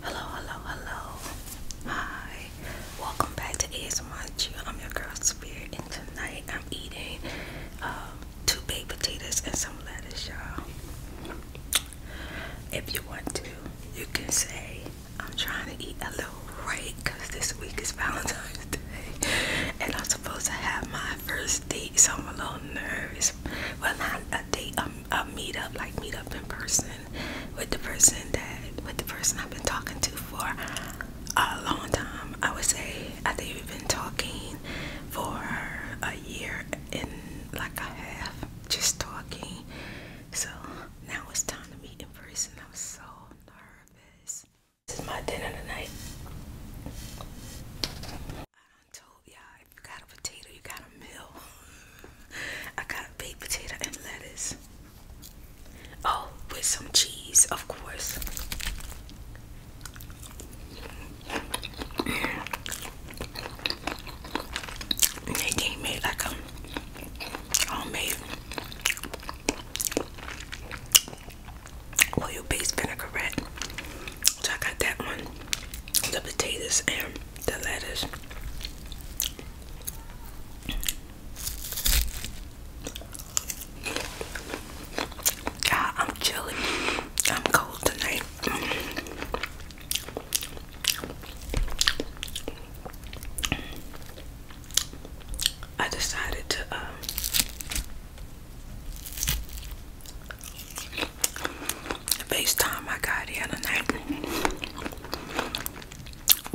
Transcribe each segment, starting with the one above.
Hello, hello, hello. Hi. Welcome back to ASMR. I'm your girl Spirit and tonight I'm eating um, two baked potatoes and some lettuce, y'all. If you want to, you can say, I'm trying to eat a little right because this week is Valentine's Day and I'm supposed to have my first date, so I'm a little nervous. But not a date, um, a meet up, like meet up in person with the person that, with the person I've been talking to for a long time. I would say I think we've been talking for a year and like a half, just talking. So now it's time to meet in person. I'm so nervous. This is my dinner tonight. I told y'all if you got a potato, you got a meal. I got a baked potato and lettuce. Oh, with some cheese, of course. And they gave me like a homemade oil-based vinaigrette. So I got that one, the potatoes and the lettuce. God, I'm chilly. I'm cold tonight. I decided to um FaceTime I got here other night.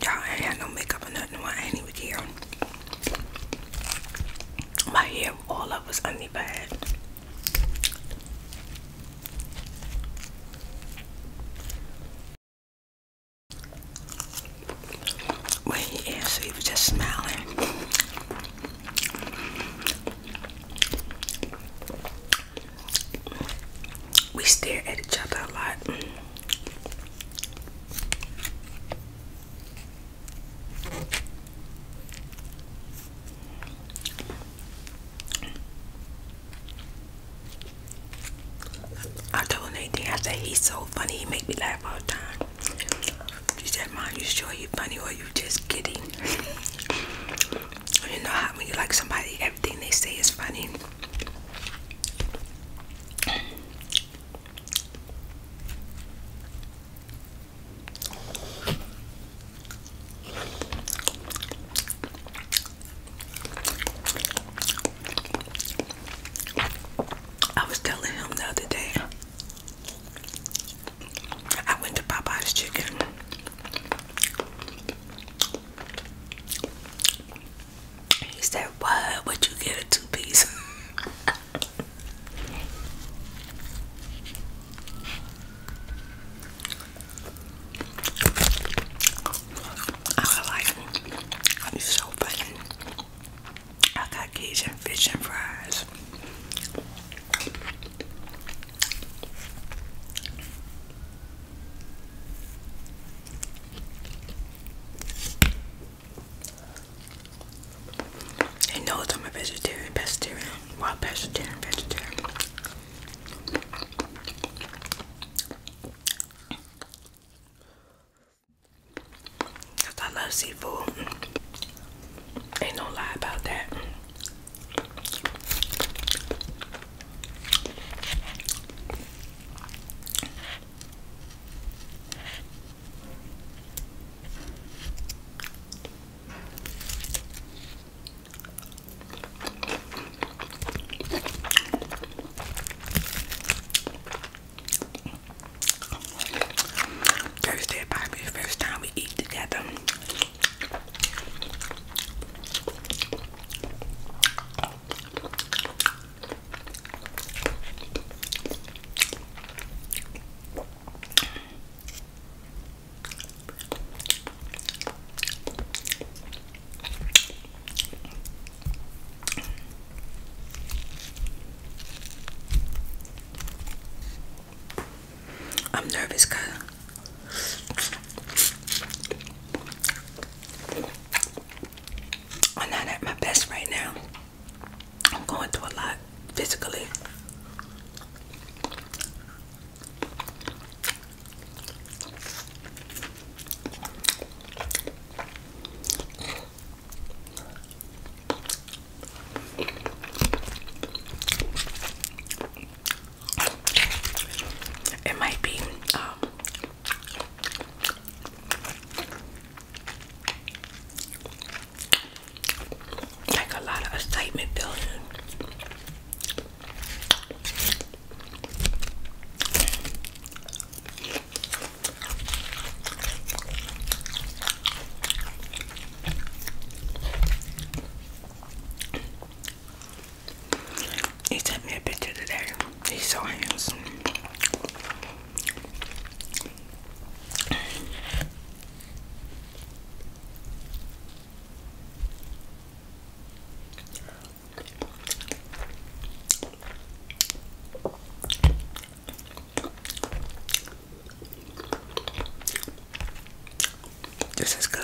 Y'all ain't had no makeup or nothing. Well, I ain't even here. My hair all up was only bad. When he answered, he was just smiling. We stare at each other a lot. I told Nate, I said he's so funny, he make me laugh all the time. He said, Mom, you sure you funny or you just kidding? you know how when you like somebody, everything they say is funny. I was telling him the other day, I went to Popeye's Chicken. He said, What would you get a two piece? I like it's so funny. I got Cajun fish and fries. He knows i a vegetarian, pescatarian, wild vegetarian. Cause I love seafood. Ain't no lie about that. Thursday probably first time we eat together. I'm nervous, cuz. I'm not at my best right now. I'm going through a lot physically. It might be um, like a lot of excitement building. He sent me a picture today. He's so handsome. This is good.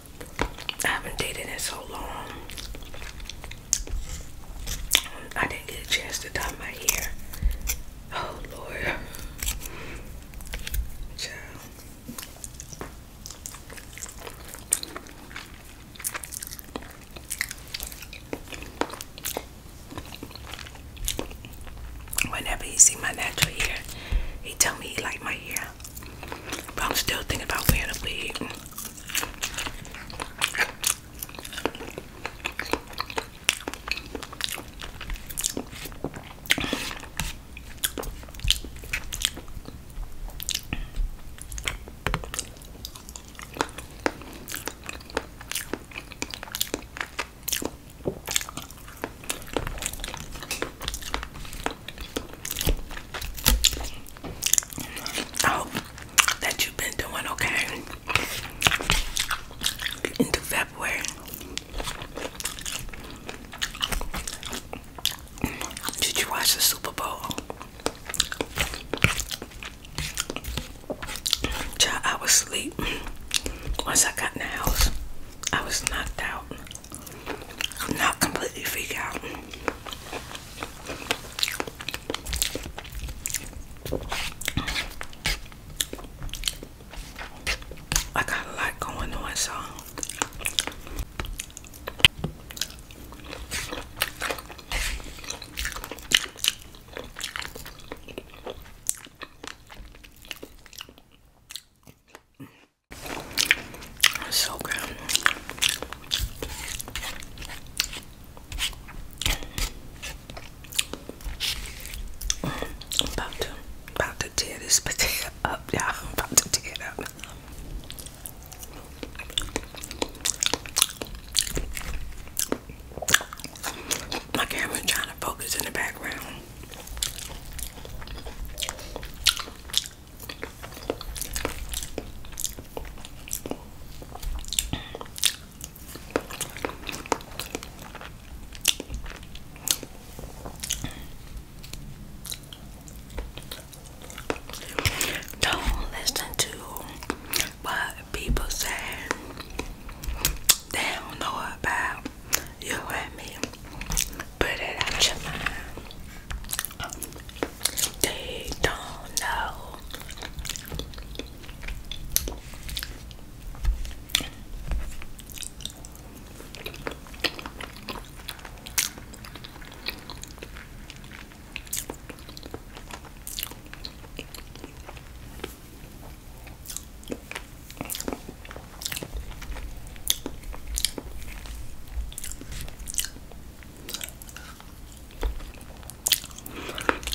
I haven't dated in so long. I didn't get a chance to dye my hair. Oh Lord. Child. Whenever he see my natural hair, he tell me he like my hair. But I'm still thinking about where to wig. I oh, hope that you've been doing okay into February. Did you watch the Super Bowl? Child, I was asleep. Once I got in the house, I was knocked out. I'm not completely freaked out. I got a lot going on, so so good. I'm about to, about to tear this potato up, y'all. I'm about to tear it up. My camera trying to focus in the background. Don't listen to what people say. They don't know about you heard me. Put it out your mind. They don't know.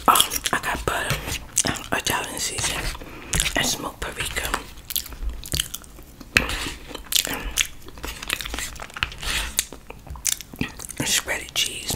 Oh, I got butter and Italian seasoning and smoked paprika. And shredded cheese.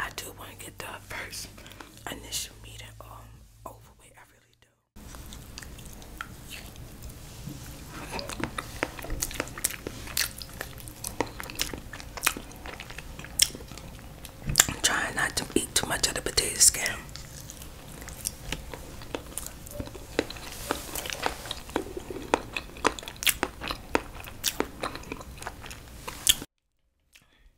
I do want to get the first initial meeting um over with. I really do. I'm trying not to eat too much of the potato skin.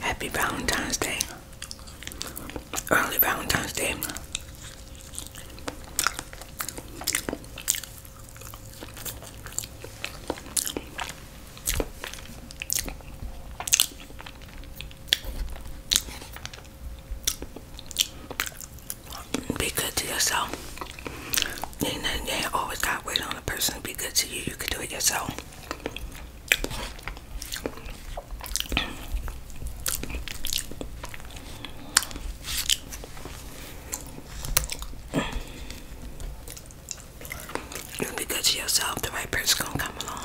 Happy Valentine's Day. Early Valentine's Day be good to yourself. You know, you always got wait on a person to be good to you. You can do it yourself. You'll be good to yourself. The right person gonna come along.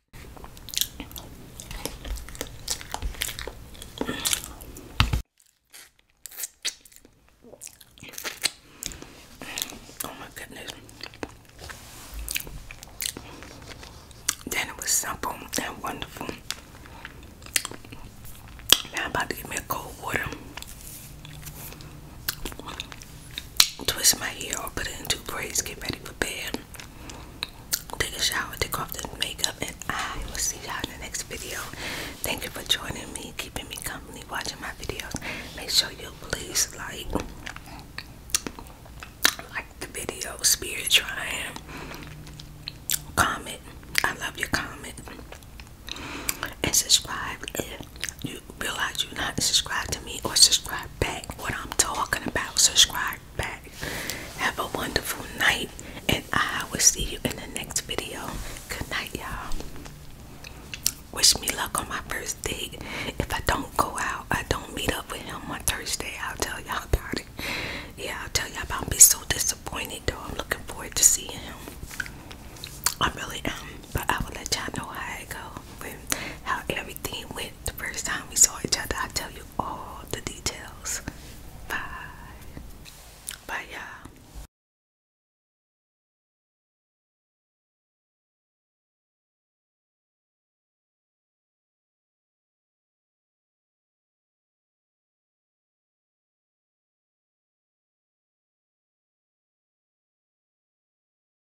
Oh my goodness. Then it was simple and wonderful. Now I'm about to get me a cold water. Twist my hair or put it in two braids, get ready for bed take a shower, take off the makeup, and I will see y'all in the next video. Thank you for joining me, keeping me company, watching my videos. Make sure you please like, like the video, spirit trying, comment. I love your comment. And subscribe if you realize you're not subscribed to me or subscribe subscribe back what I'm talking about. Subscribe back. Have a wonderful night, and I will see you in the next video. Good night, y'all. Wish me luck on my first date. If I don't go out, I don't meet up with him on Thursday. I'll tell y'all about it. Yeah, I'll tell y'all about. I'll so disappointed though. I'm looking forward to seeing him. I really am, but I will let y'all know how I go when how everything went the first time we saw each other. I'll tell you all the details. Bye. Bye you